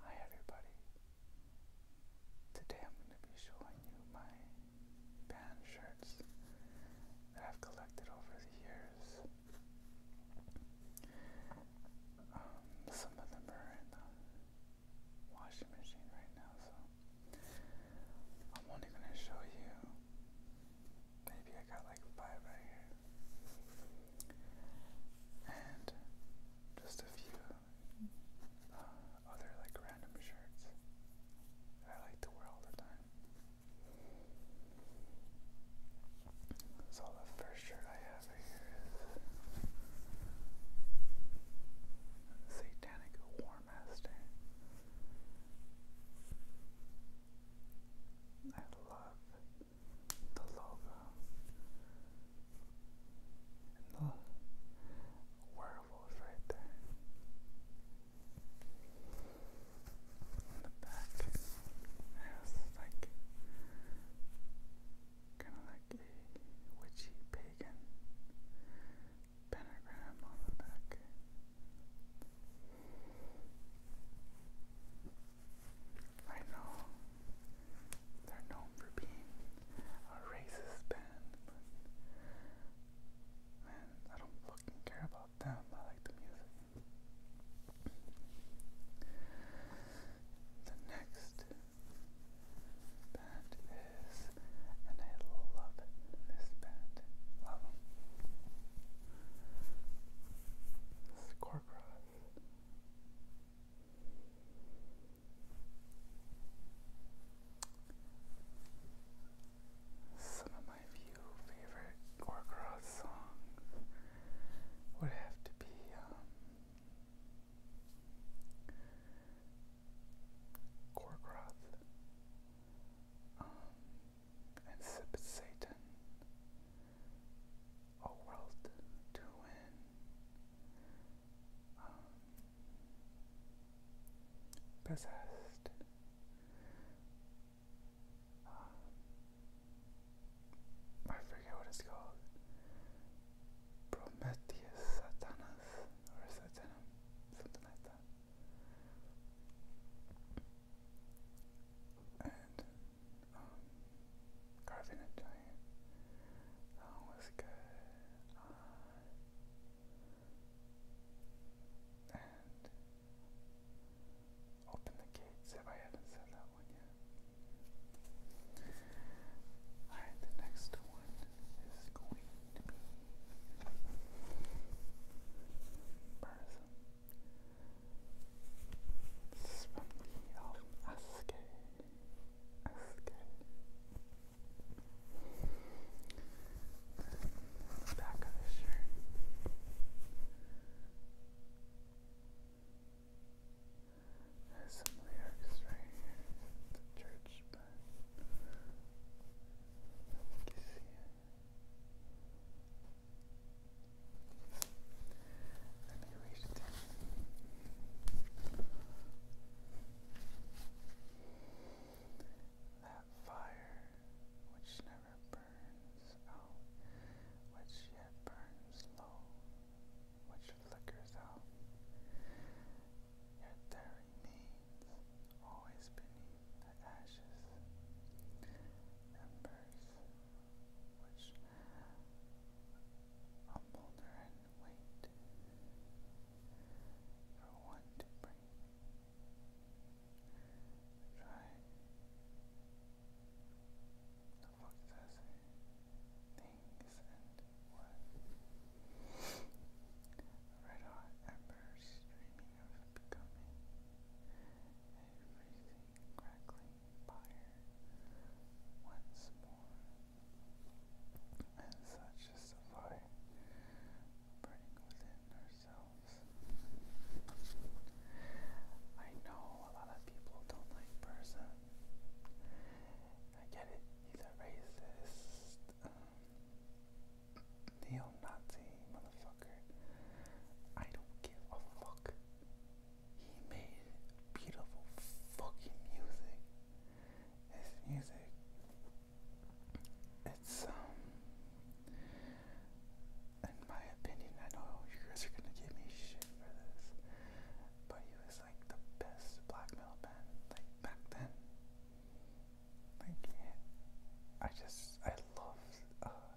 Hi everybody. Today I'm going to be showing you my band shirts that I've collected over the years. Um, some of them are in the washing machine right now, so I'm only going to show you. Maybe I got like five right here and just a few uh, other like random shirts I like to wear all the time. So the first shirt I have here is Satanic War Master. I love the logo the werewolf right there. the back has like kind of like a witchy pagan pentagram on the back. I know they're known for being a racist band, but man, I don't fucking care about them. I like the music. The next band is, and I love it, this band, love them. Scorcross. Some of my few favorite Gorgoroth songs would have to be um, Gorgoroth um, Satan a world to win. Um, possessed. Um, I forget what it's called. Prometheus Satanas or Satanum, something like that. Um, carving a Giant. That was good. Uh, and Open the Gates, if I haven't said that one yet. Alright, the next one is going to be Person. This is the back of the shirt. There's some lyrics right here. The church, but I you see let me That fire which never burns out, which yet burns low, which flickers out, yet there remains always beneath the ashes, embers was a boulder and wait for one to bring. Try. The fuck does it? Things and what? Red hot embers streaming of becoming everything crackling fire once more. And such is fire burning within ourselves. I know a lot of people don't like person. I get it, he's a racist, neo-Nazi motherfucker. I don't give a fuck. He made beautiful fucking music. His music, it's, um, in my opinion, I know you guys are gonna give me shit for this, but he was like the best black metal band, like back then. Like, I just, I love, uh,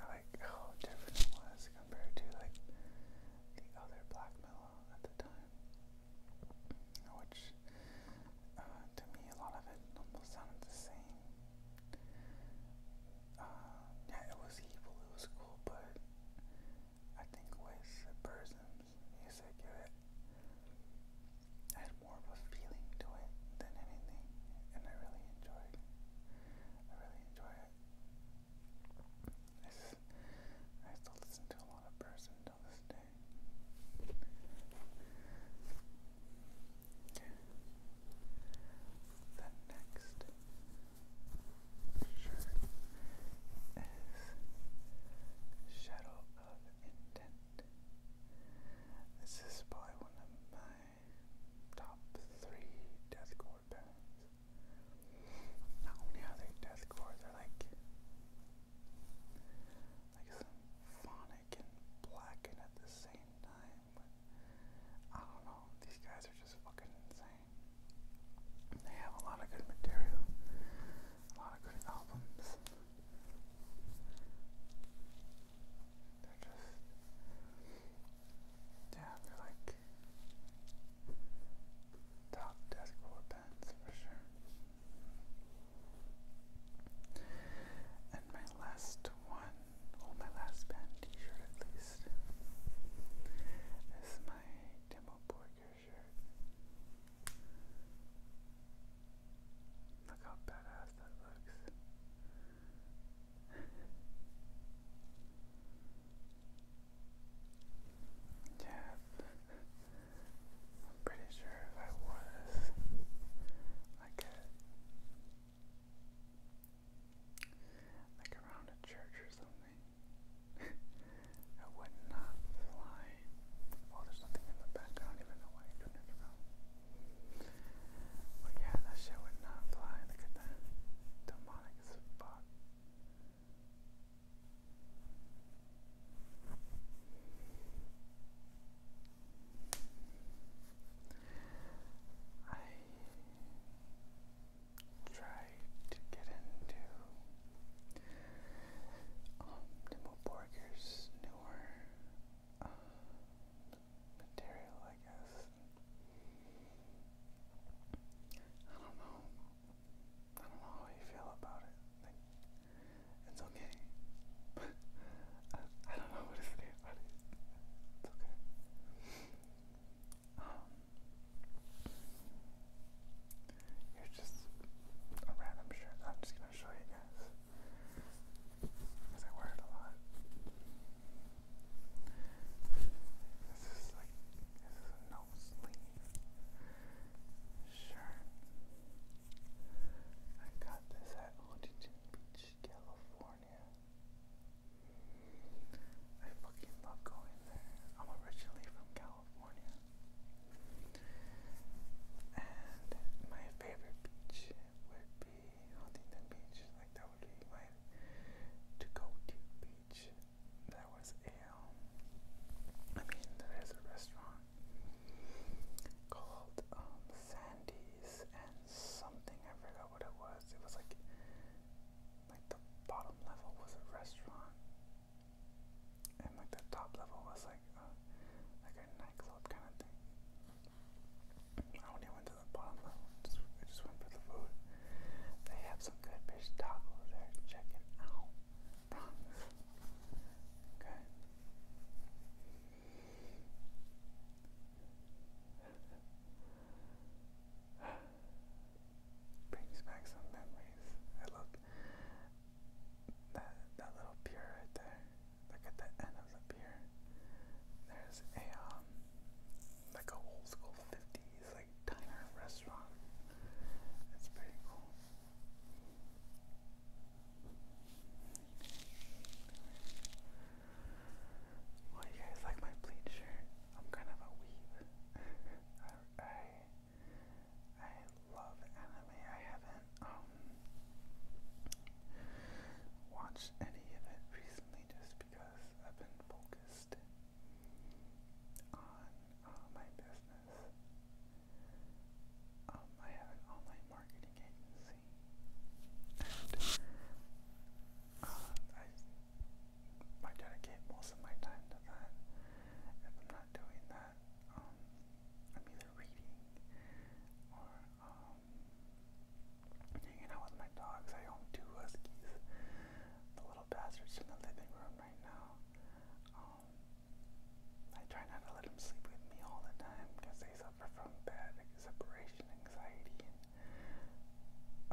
I like how different it was compared to like the other black mellow at the time, which uh, to me a lot of it almost sounded the same. Uh, yeah, it was evil, it was cool, but I think with the music, it had more of a feeling to it than anything, and I really enjoyed. I really enjoy it. I, s I still listen to a lot of person till this day. The next is Shadow of Intent. This is probably one of my top three deathcore bands. Not only are they deathcore, they're like like symphonic and blackened at the same time. But I don't know, these guys are just fucking insane. They have a lot of good material, a lot of good albums. They're just yeah, like top desk core pens for sure. And my last one, my last pen t-shirt at least, is my Demo Borger shirt. Look how badass that looks. Yeah, I'm pretty sure if I was like around a church or something, I would not fly. Well, there's nothing in the back. I don't even know why you're doing it around. But yeah, that shit would not fly. Look at that demonic spot. I tried to get into um, Nimble newer uh, material, I guess. I don't know. I don't know how you feel about it. it's okay. I, don't know what to say about it. It's okay. Um, you just a random shirt. I'm just gonna show you guys because I wear it a lot. This is like this is a no sleeve shirt. I got this at Huntington Beach, California. I fucking love going there. I'm originally from California. And my favorite beach would be Huntington Beach. Like that would be my to go to beach. There was a, um, I mean, a restaurant called um, Sandy's and something, I forgot what it was. It was like, like the bottom level was a restaurant, and like the top level was like like a nightclub kind of thing. I only went I Just, went for the food. They have some good fish tacos there. Check it out. Okay. Brings back some memories. I look that that little pier right there. Look at the end of the pier. There's a um like a old school fifties diner restaurant. It's pretty cool. Well, you guys like my pleat shirt? I'm kind of a weeb. I I love anime. I haven't um watched any of it recently just because I've been focused on uh, my business. Um, I have an online marketing agency, and um, I, I dedicate most of my time to that. If I'm not doing that, um, I'm either reading or hanging out with my dogs. I own two huskies, the little bastard's in the living room right now. Um, I try not to let him sleep with me all the time because they suffer from bad separation anxiety.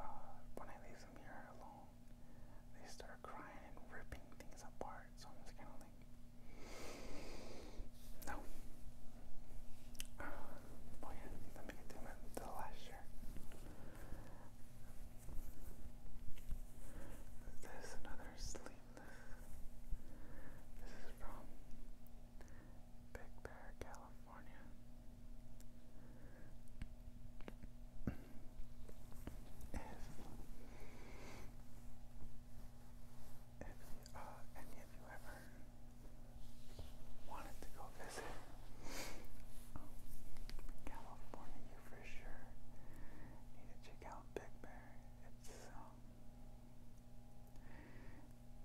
Uh, when I leave them here alone, they start crying and ripping things apart. So I'm just kind of like, no. oh yeah, let me get to the last texture. This another sleeveless. This is from Big Bear, California. if if uh, any of you ever wanted to go California, for sure need to check out Big Bear. It's um,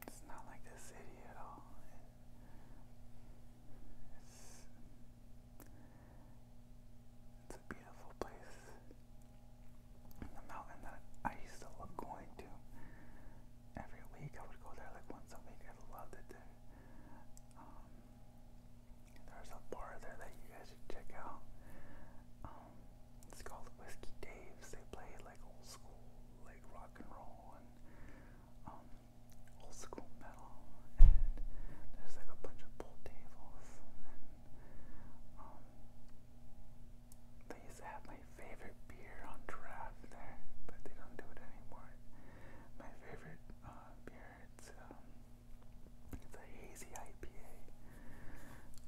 it's not like the city at all. it's it's a beautiful place. The mountain that I used to love going to every week. I would go there like once a week. I loved it there. Um, there's a bar there that you guys should check out. Um, it's called Whiskey Dave's. They play like old school, like rock and roll and um, old school metal. And there's like a bunch of pool tables. And um, they used to have my favorite beer on draft there, but they don't do it anymore. My favorite uh, beer. It's um, it's a hazy IPA.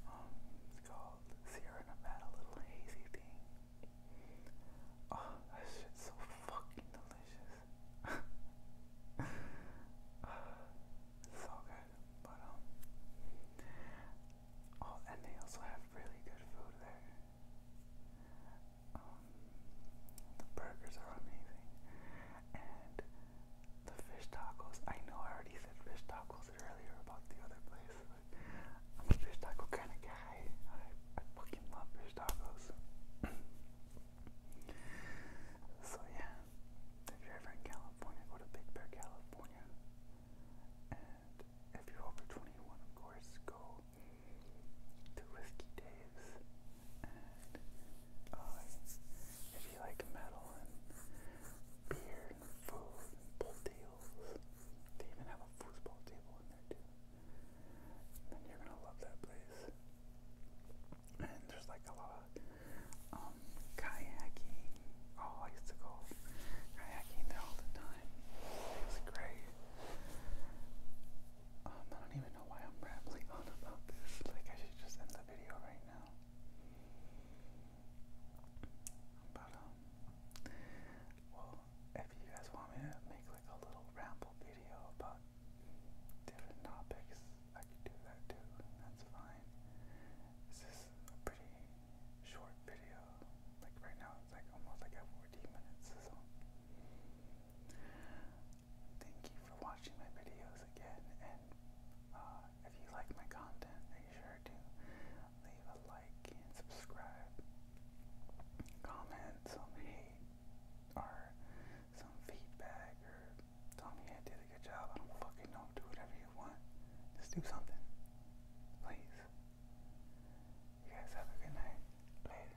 Um, it's called Sierra Nevada Little Hazy Thing. Oh, that shit's so fucking delicious. uh, it's so good, but um, oh, and they also have really good food there. Um, the burgers are amazing, and the fish tacos. I know I already said fish tacos earlier about the other place, but I'm a fish taco kind of guy. I, I fucking love fish tacos. so yeah, if you're ever in California, go to Big Bear, California. And if you're over 21, of course, go to Whiskey Dave's, and uh, if you like metal and beer and food and pool tables, they even have a foosball table in there too. Then you're gonna love that place. And there's like a lot of um, kayaking. Oh, I used to go kayaking there all the time. It was great. Um, I don't even know why I'm rambling on about this. Like, I should just end the video right now. But, um, well, if you guys want me to make like a little ramble video about different topics, I could do that too. That's fine. This is a pretty short video. Like, right now, it's like almost like 14 minutes. So. Thank you for watching my videos again, and uh, if you like my content, make sure to leave a like and subscribe. Comment some hate or some feedback, or tell me I did a good job. I don't fucking know. Do whatever you want. Just do something, please. You guys have a good night. Later.